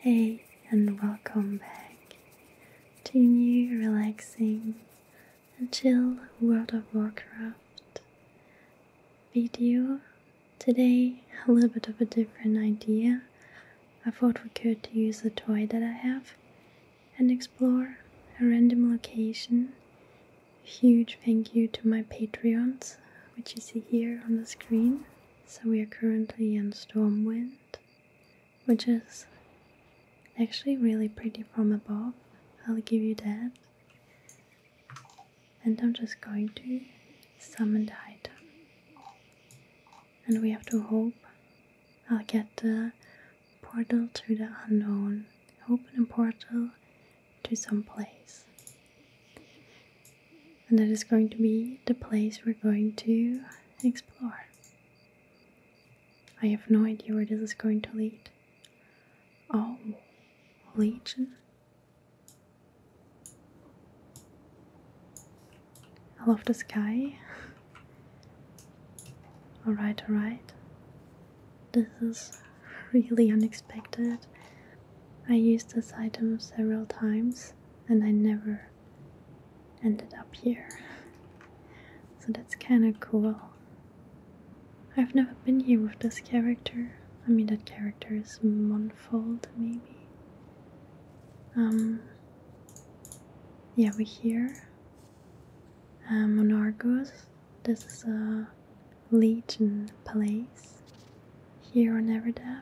Hey, and welcome back to a new relaxing and chill World of Warcraft video. Today, a little bit of a different idea. I thought we could use a toy that I have and explore a random location. Huge thank you to my Patreons, which you see here on the screen. So we are currently in Stormwind, which is actually really pretty from above. I'll give you that. And I'm just going to summon the item. And we have to hope I'll get the portal to the unknown. Open a portal to some place. And that is going to be the place we're going to explore. I have no idea where this is going to lead. Oh, Legion. I love the sky. alright, alright. This is really unexpected. I used this item several times and I never ended up here. So that's kind of cool. I've never been here with this character. I mean, that character is Monfold, maybe. Um, yeah, we're here. Um, uh, Monargos. This is a legion palace here on Everdav.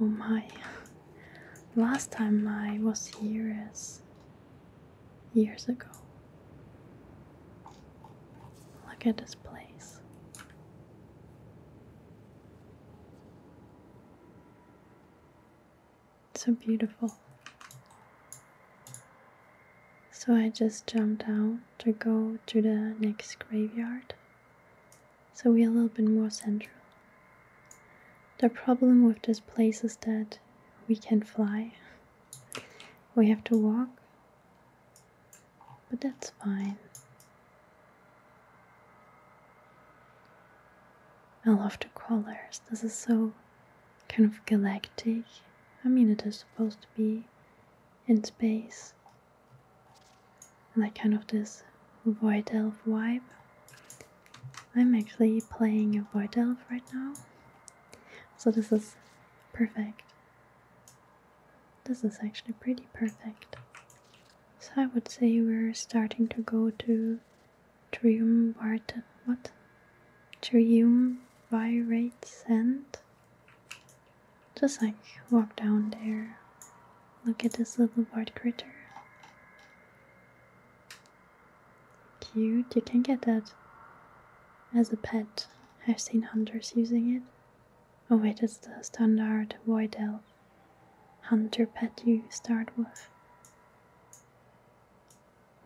Oh my! Last time I was here is years ago. Look at this place. so beautiful. So I just jumped down to go to the next graveyard so we are a little bit more central. The problem with this place is that we can not fly, we have to walk, but that's fine. I love the colors, this is so kind of galactic. I mean, it is supposed to be in space, like kind of this void elf vibe. I'm actually playing a void elf right now, so this is perfect. This is actually pretty perfect. So I would say we're starting to go to triumvirate what triumvirate scent just like walk down there. Look at this little bird critter. Cute. You can get that as a pet. I've seen hunters using it. Oh wait, it's the standard white elf hunter pet you start with.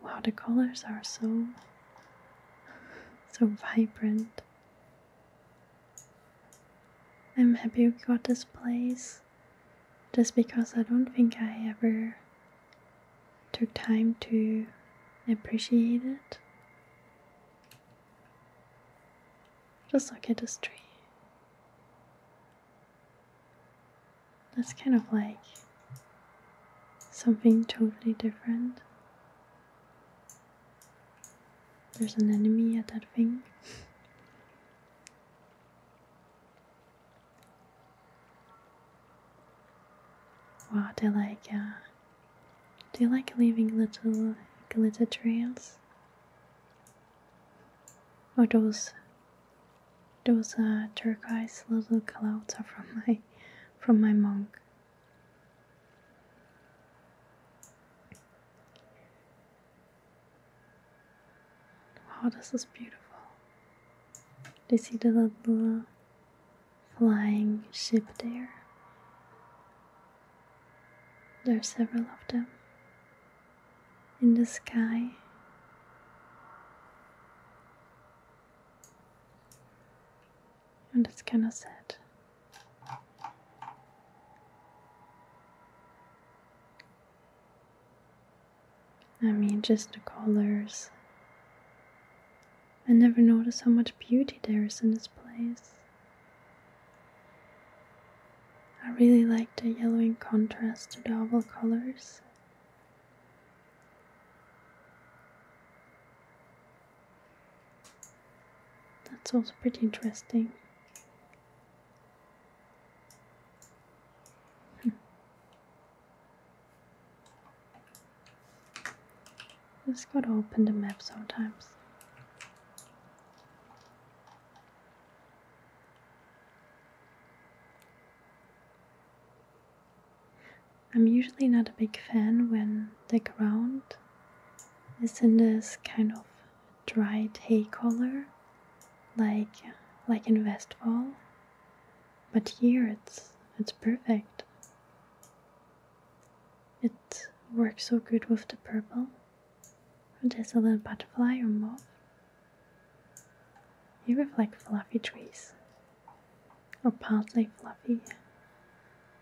Wow, the colors are so so vibrant. I'm happy we got this place just because I don't think I ever took time to appreciate it. Just look at this tree. That's kind of like something totally different. There's an enemy at that thing. do you like uh, they like leaving little glitter trails. Oh, those those uh, turquoise little clouds are from my from my monk Wow, oh, this is beautiful. Do you see the little flying ship there? There are several of them in the sky and it's kind of sad. I mean, just the colors. I never notice how much beauty there is in this place. I really like the yellowing contrast to the oval colors. That's also pretty interesting. Just hmm. gotta open the map sometimes. I'm usually not a big fan when the ground it's in this kind of dried hay color, like like in Westfall. But here it's it's perfect. It works so good with the purple. There's a little butterfly or moth. You reflect fluffy trees. Or partly fluffy.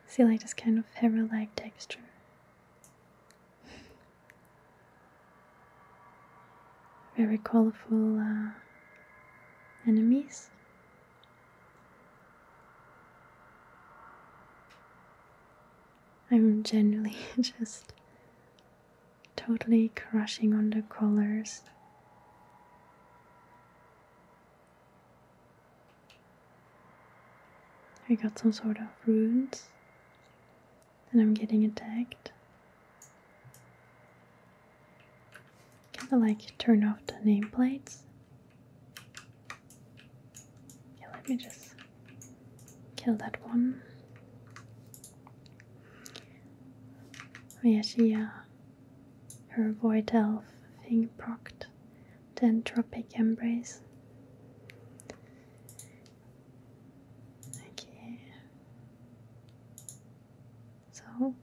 See like this kind of hair-like texture very colorful uh, enemies. I'm generally just totally crushing on the colors. I got some sort of runes, and I'm getting attacked. Kind of like turn off the nameplates. Yeah, let me just kill that one. Oh yeah, she, yeah, uh, her void elf thing procted called the entropic embrace. Okay. So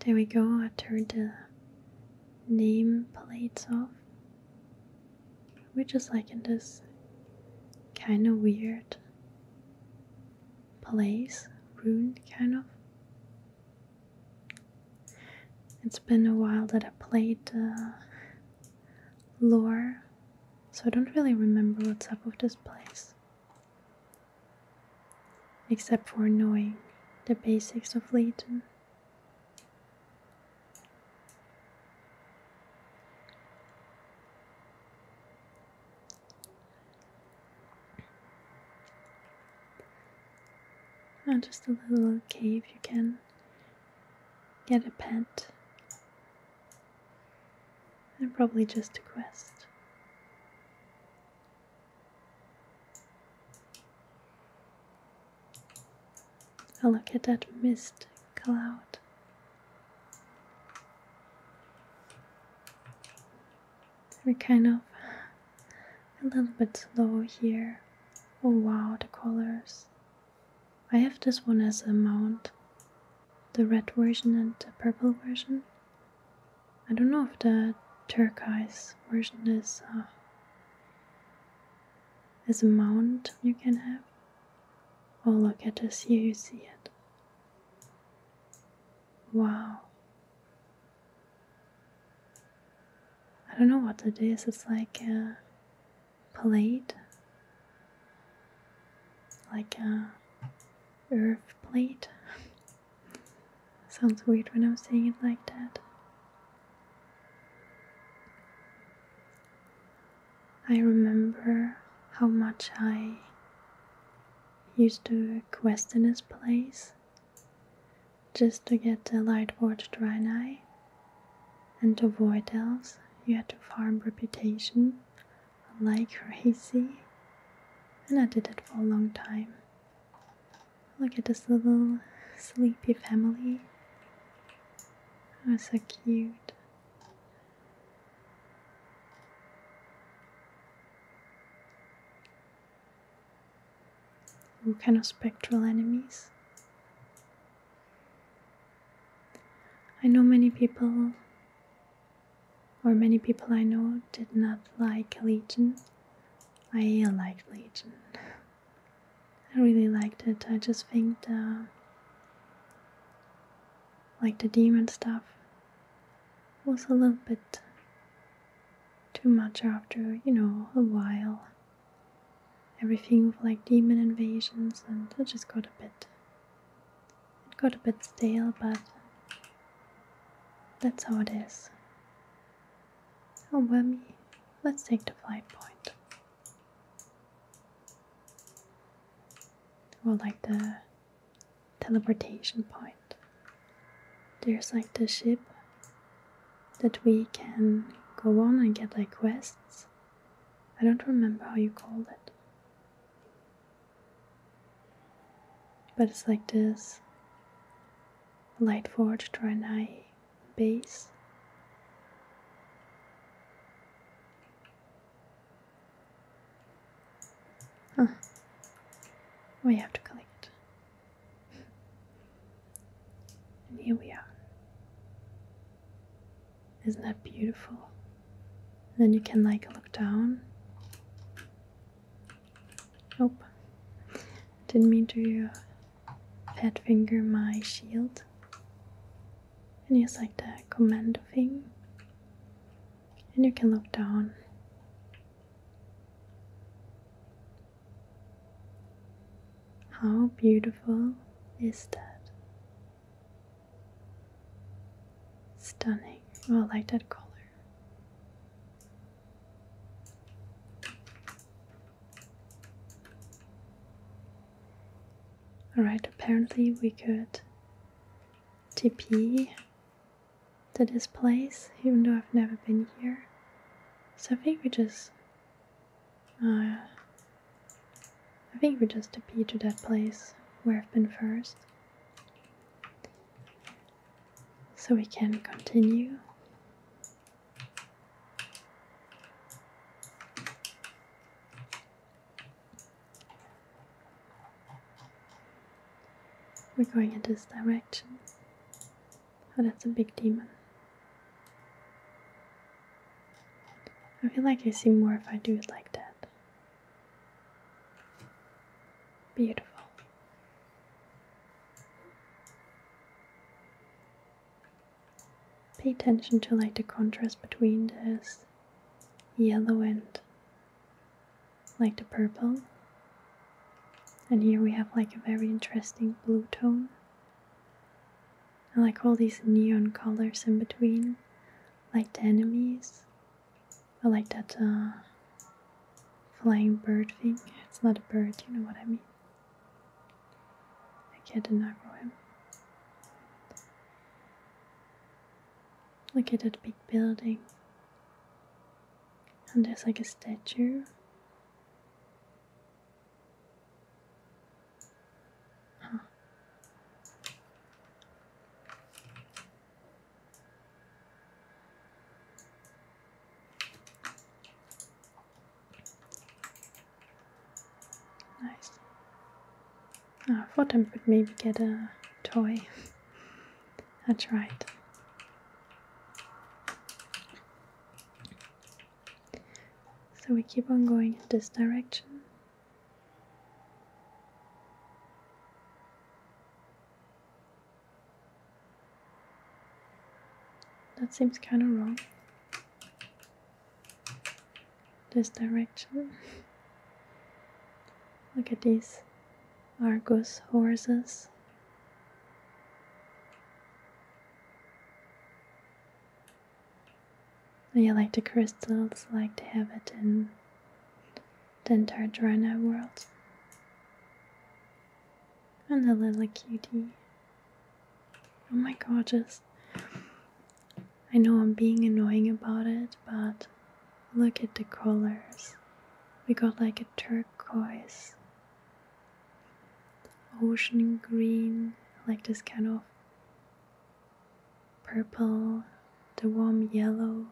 there we go, I turned the name plates off. We're just like in this kind of weird place, ruined kind of. It's been a while that I played uh, Lore, so I don't really remember what's up with this place. Except for knowing the basics of Leighton. Not uh, just a little cave. you can get a pet. And probably just a quest. Oh, look at that mist cloud. we kind of a little bit slow here. Oh wow, the colors. I have this one as a mount. The red version and the purple version. I don't know if the turquoise version is uh, a mount you can have. Oh look at this, here you see it. Wow. I don't know what it is, it's like a uh, plate, like a uh, earth plate. Sounds weird when I'm saying it like that. I remember how much I used to question his place just to get the light forged Draenei and to avoid elves you had to farm reputation like crazy and I did it for a long time. Look at this little sleepy family. Oh so cute. What kind of spectral enemies? I know many people, or many people I know, did not like Legion. I liked Legion. I really liked it. I just think the like the demon stuff was a little bit too much after, you know, a while everything with like demon invasions, and it just got a bit. It got a bit stale, but that's how it is. Oh, Wemmy, let's take the flight point. Or like the teleportation point there's like the ship that we can go on and get like quests. I don't remember how you called it. But it's like this Light Lightforge Draenei base. Huh. We have to collect it. And here we are. Isn't that beautiful? And then you can like look down. Oh, didn't mean to fat uh, finger my shield. And use like the commando thing. And you can look down. How beautiful is that? Stunning. I like that color. Alright, apparently we could TP to this place, even though I've never been here. So I think we just. Uh, I think we just appear to that place where I've been first. So we can continue. We're going in this direction. Oh, that's a big demon. I feel like I see more if I do it like that. Beautiful. Pay attention to like the contrast between this yellow and like the purple and here we have like a very interesting blue tone. I like all these neon colors in between, like the enemies. I like that uh, flying bird thing. It's not a bird, you know what I mean. I can't an him. Look at that big building. And there's like a statue Nice. I thought I would maybe get a toy. That's right. So we keep on going in this direction. That seems kind of wrong. This direction. Look at this. Argus horses. Yeah, like the crystals, like to have it in the entire Drana world. And the little cutie. Oh my gorgeous. I know I'm being annoying about it, but look at the colors. We got like a turquoise ocean green, like this kind of purple, the warm yellow,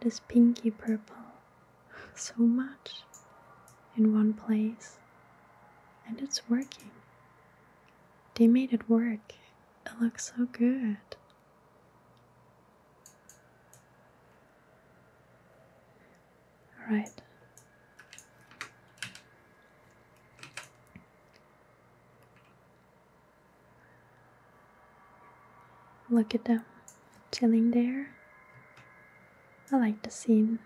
this pinky purple, so much in one place. And it's working. They made it work. It looks so good. All right. Look at them chilling there. I like the scene.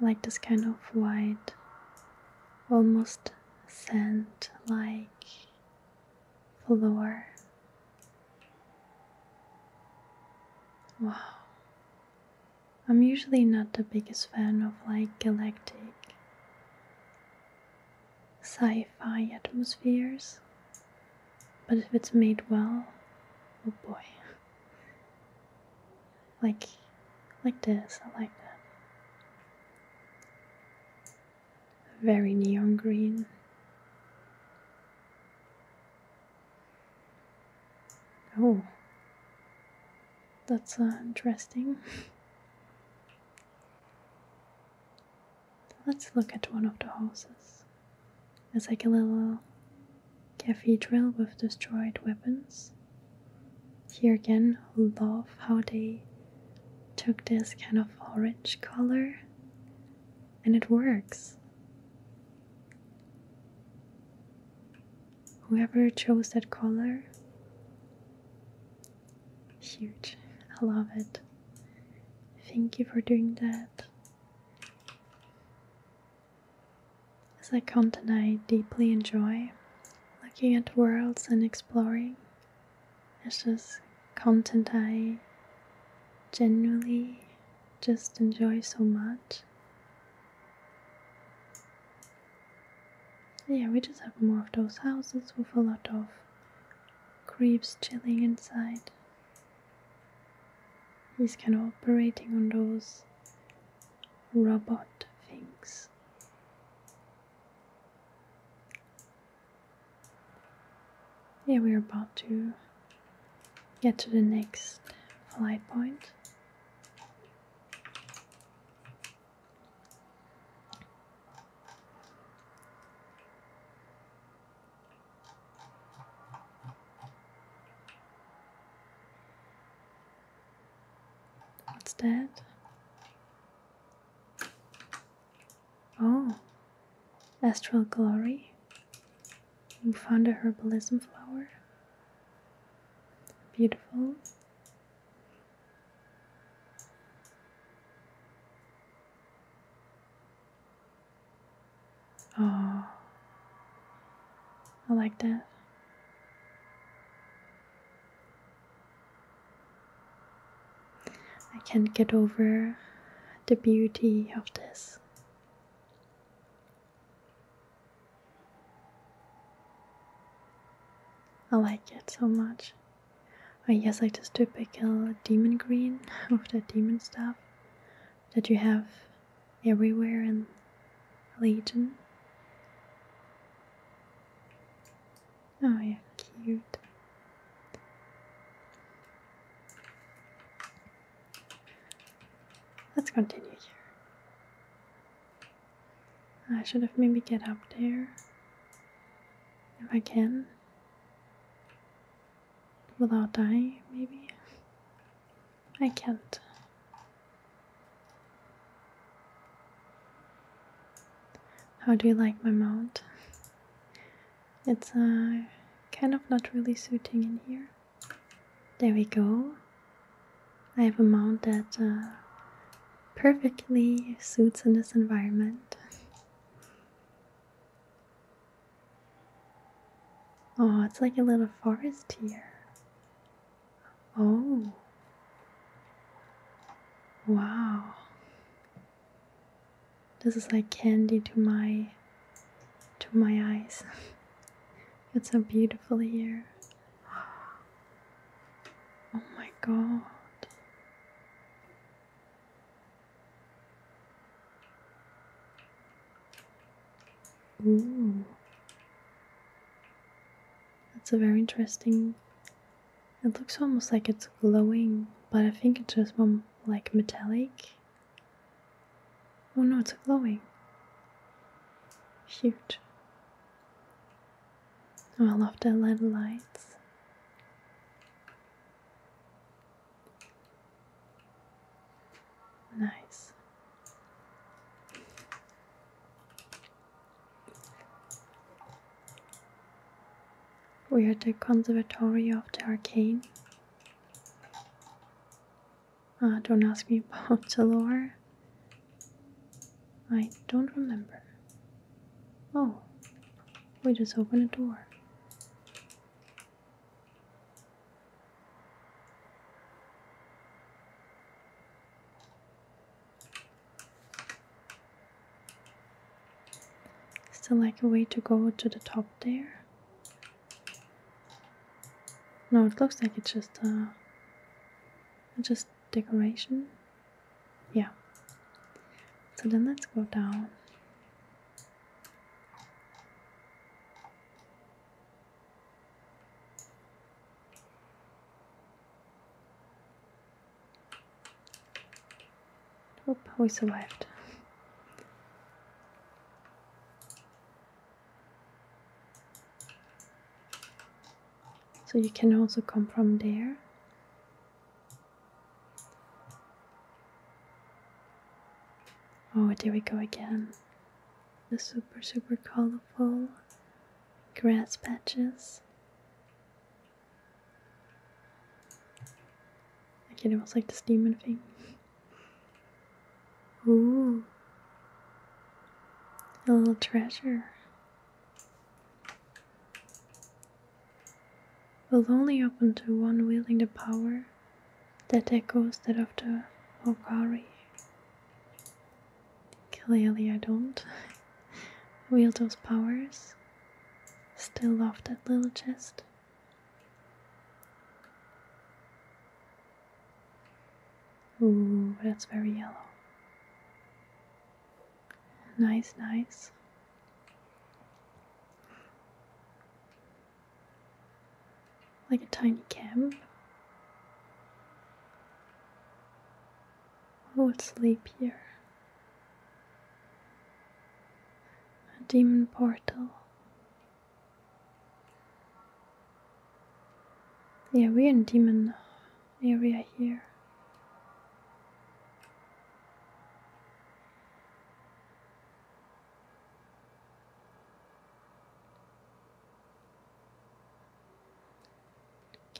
I like this kind of white, almost sand like floor. Wow. I'm usually not the biggest fan of like galactic sci fi atmospheres, but if it's made well, oh boy. Like, like this, I like that. Very neon green. Oh, that's uh, interesting. Let's look at one of the houses. It's like a little cathedral with destroyed weapons. Here again, love how they took this kind of orange color and it works. Whoever chose that color, huge. I love it. Thank you for doing that. As a content I deeply enjoy, looking at worlds and exploring, it's just content I genuinely just enjoy so much. Yeah, we just have more of those houses with a lot of creeps chilling inside. He's kind of operating on those robot things. Yeah, we're about to get to the next flight point. What's that? Oh, astral glory. You found a herbalism flower. Beautiful. Oh, I like that. I can't get over the beauty of this. I like it so much. I guess like this typical demon green of the demon stuff that you have everywhere in Legion. Oh yeah, cute. Let's continue here. I should have maybe get up there if I can without dying, maybe. I can't. How do you like my mount? It's uh, kind of not really suiting in here. There we go. I have a mount that uh, perfectly suits in this environment. Oh, it's like a little forest here. Oh. Wow. This is like candy to my to my eyes. it's so beautiful here. Oh my god. Ooh. That's a very interesting. It looks almost like it's glowing, but I think it's just one like metallic Oh no, it's glowing. Cute. Oh, I love the LED lights. Nice. We are at the Conservatory of the Arcane uh, don't ask me about the lore. I don't remember. Oh, we just open a door. Still like a way to go to the top there. No, it looks like it's just uh, just decoration. Yeah. So then let's go down. Oh, we survived. So you can also come from there. Oh, here we go again. The super, super colorful grass patches. I can almost like this demon thing. Ooh. A little treasure. Will only open to one wielding the power that echoes that of the Okari. Clearly, I don't wield those powers. Still love that little chest. Ooh, that's very yellow. Nice, nice. Like a tiny camp. Oh, it's sleep here a demon portal. Yeah, we're in demon area here.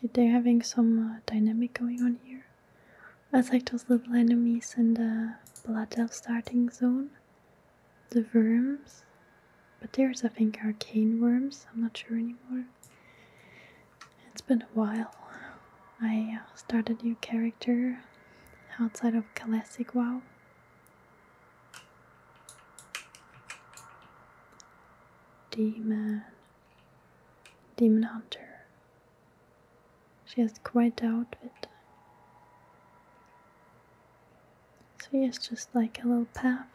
Okay, they're having some uh, dynamic going on here like those little enemies in the Blood Elf starting zone. The worms. But there's, I think, arcane worms. I'm not sure anymore. It's been a while. I uh, started a new character outside of Classic WoW. Demon. Demon Hunter. She has quite the outfit. So here's just like a little path.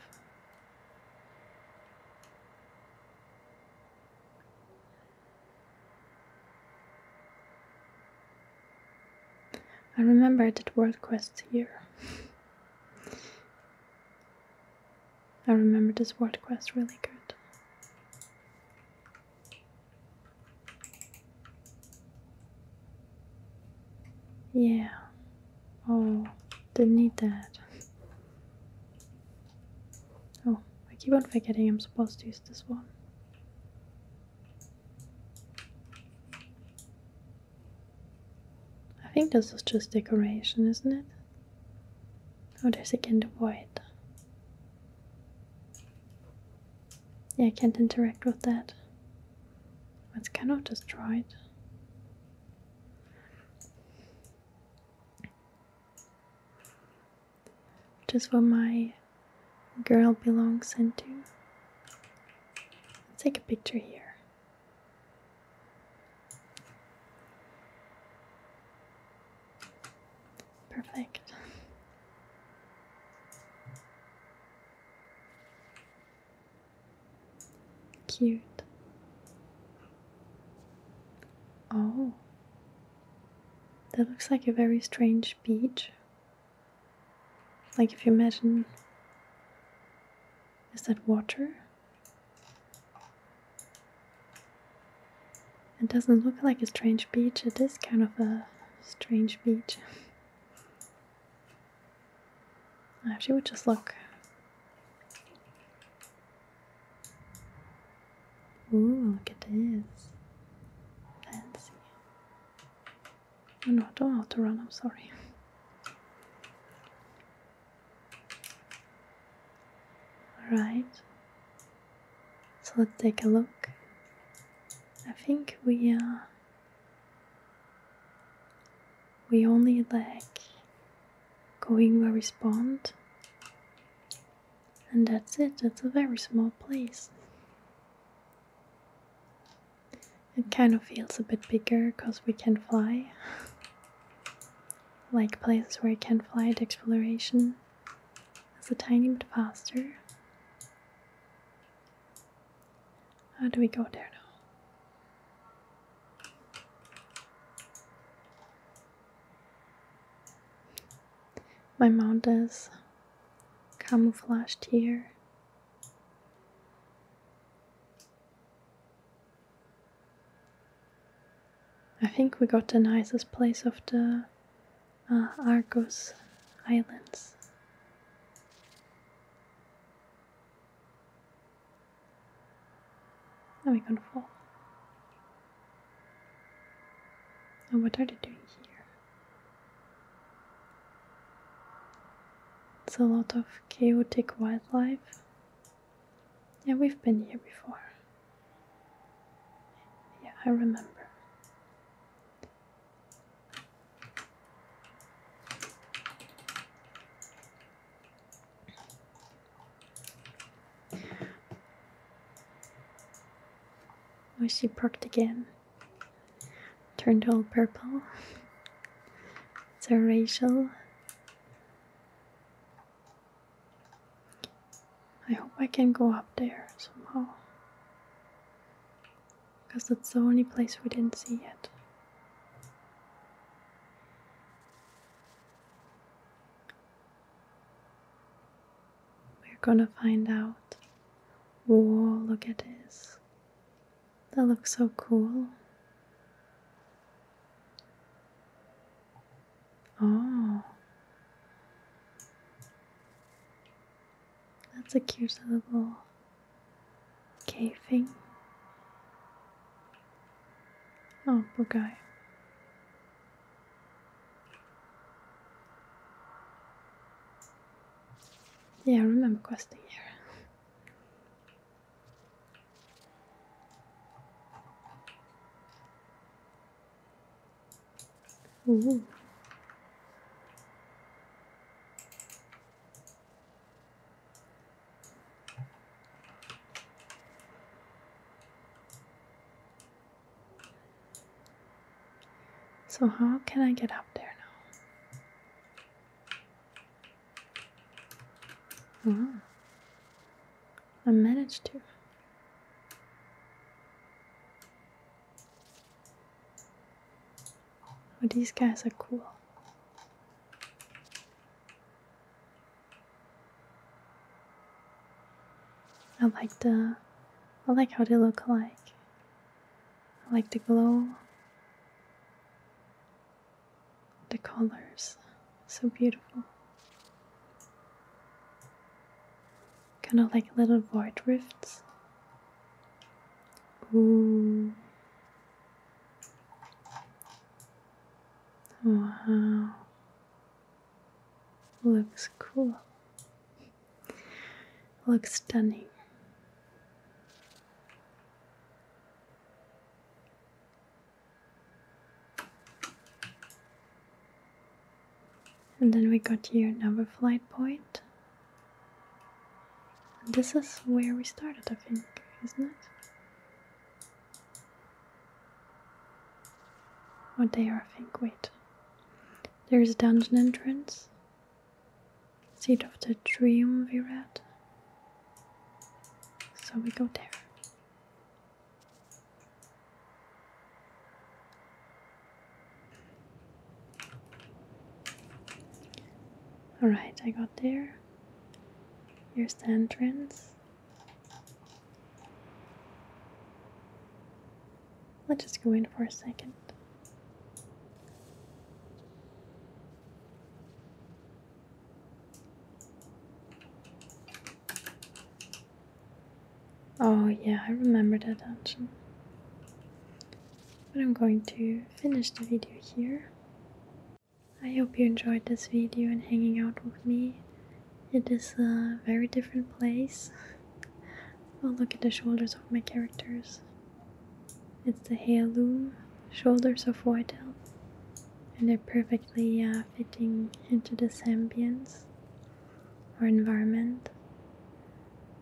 I remember I did world quests here. I remember this world quest really good. Yeah. Oh, didn't need that. Oh, I keep on forgetting I'm supposed to use this one. I think this is just decoration, isn't it? Oh, there's again the white. Yeah, I can't interact with that. It's kind of destroyed. Which is what my girl belongs into. take a picture here. Perfect. Cute. Oh, that looks like a very strange beach. Like, if you imagine, is that water? It doesn't look like a strange beach, it is kind of a strange beach. If she just look. Ooh, look at this. Fancy. Oh, no, I don't have to run, I'm sorry. Alright. So let's take a look. I think we are. Uh, we only like going where we spawned. And that's it, that's a very small place. It kind of feels a bit bigger because we can fly. like places where we can fly at exploration. It's a tiny bit faster. How do we go there now? My mount is camouflaged here. I think we got the nicest place of the uh, Argos Islands. Are we gonna fall? And what are they doing here? It's a lot of chaotic wildlife. Yeah, we've been here before. Yeah, I remember. Oh, she perked again. Turned all purple. it's a Rachel. I hope I can go up there somehow. Because that's the only place we didn't see yet. We're gonna find out. Whoa, look at this. That looks so cool. Oh. That's a cute little cave thing. Oh, poor guy. Yeah, I remember questing here. So how can I get up there now? Ah. I managed to. Oh, these guys are cool. I like the I like how they look like. I like the glow. The colors. So beautiful. Kind of like little void rifts. Ooh. Wow. Looks cool. Looks stunning. And then we got here another flight point. And this is where we started, I think, isn't it? Or oh, there, I think. Wait. There's a dungeon entrance. Seat of the Dream we read. So we go there. Alright, I got there. Here's the entrance. Let's just go in for a second. Oh, yeah, I remember that dungeon. But I'm going to finish the video here. I hope you enjoyed this video and hanging out with me. It is a very different place. oh, look at the shoulders of my characters. It's the heirloom shoulders of white elf, and they're perfectly uh, fitting into the ambience or environment.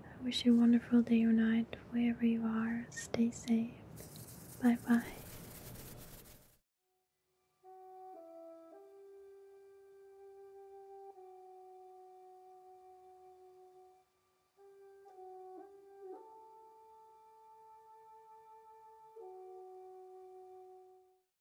I wish you a wonderful day or night wherever you are. Stay safe. Bye bye.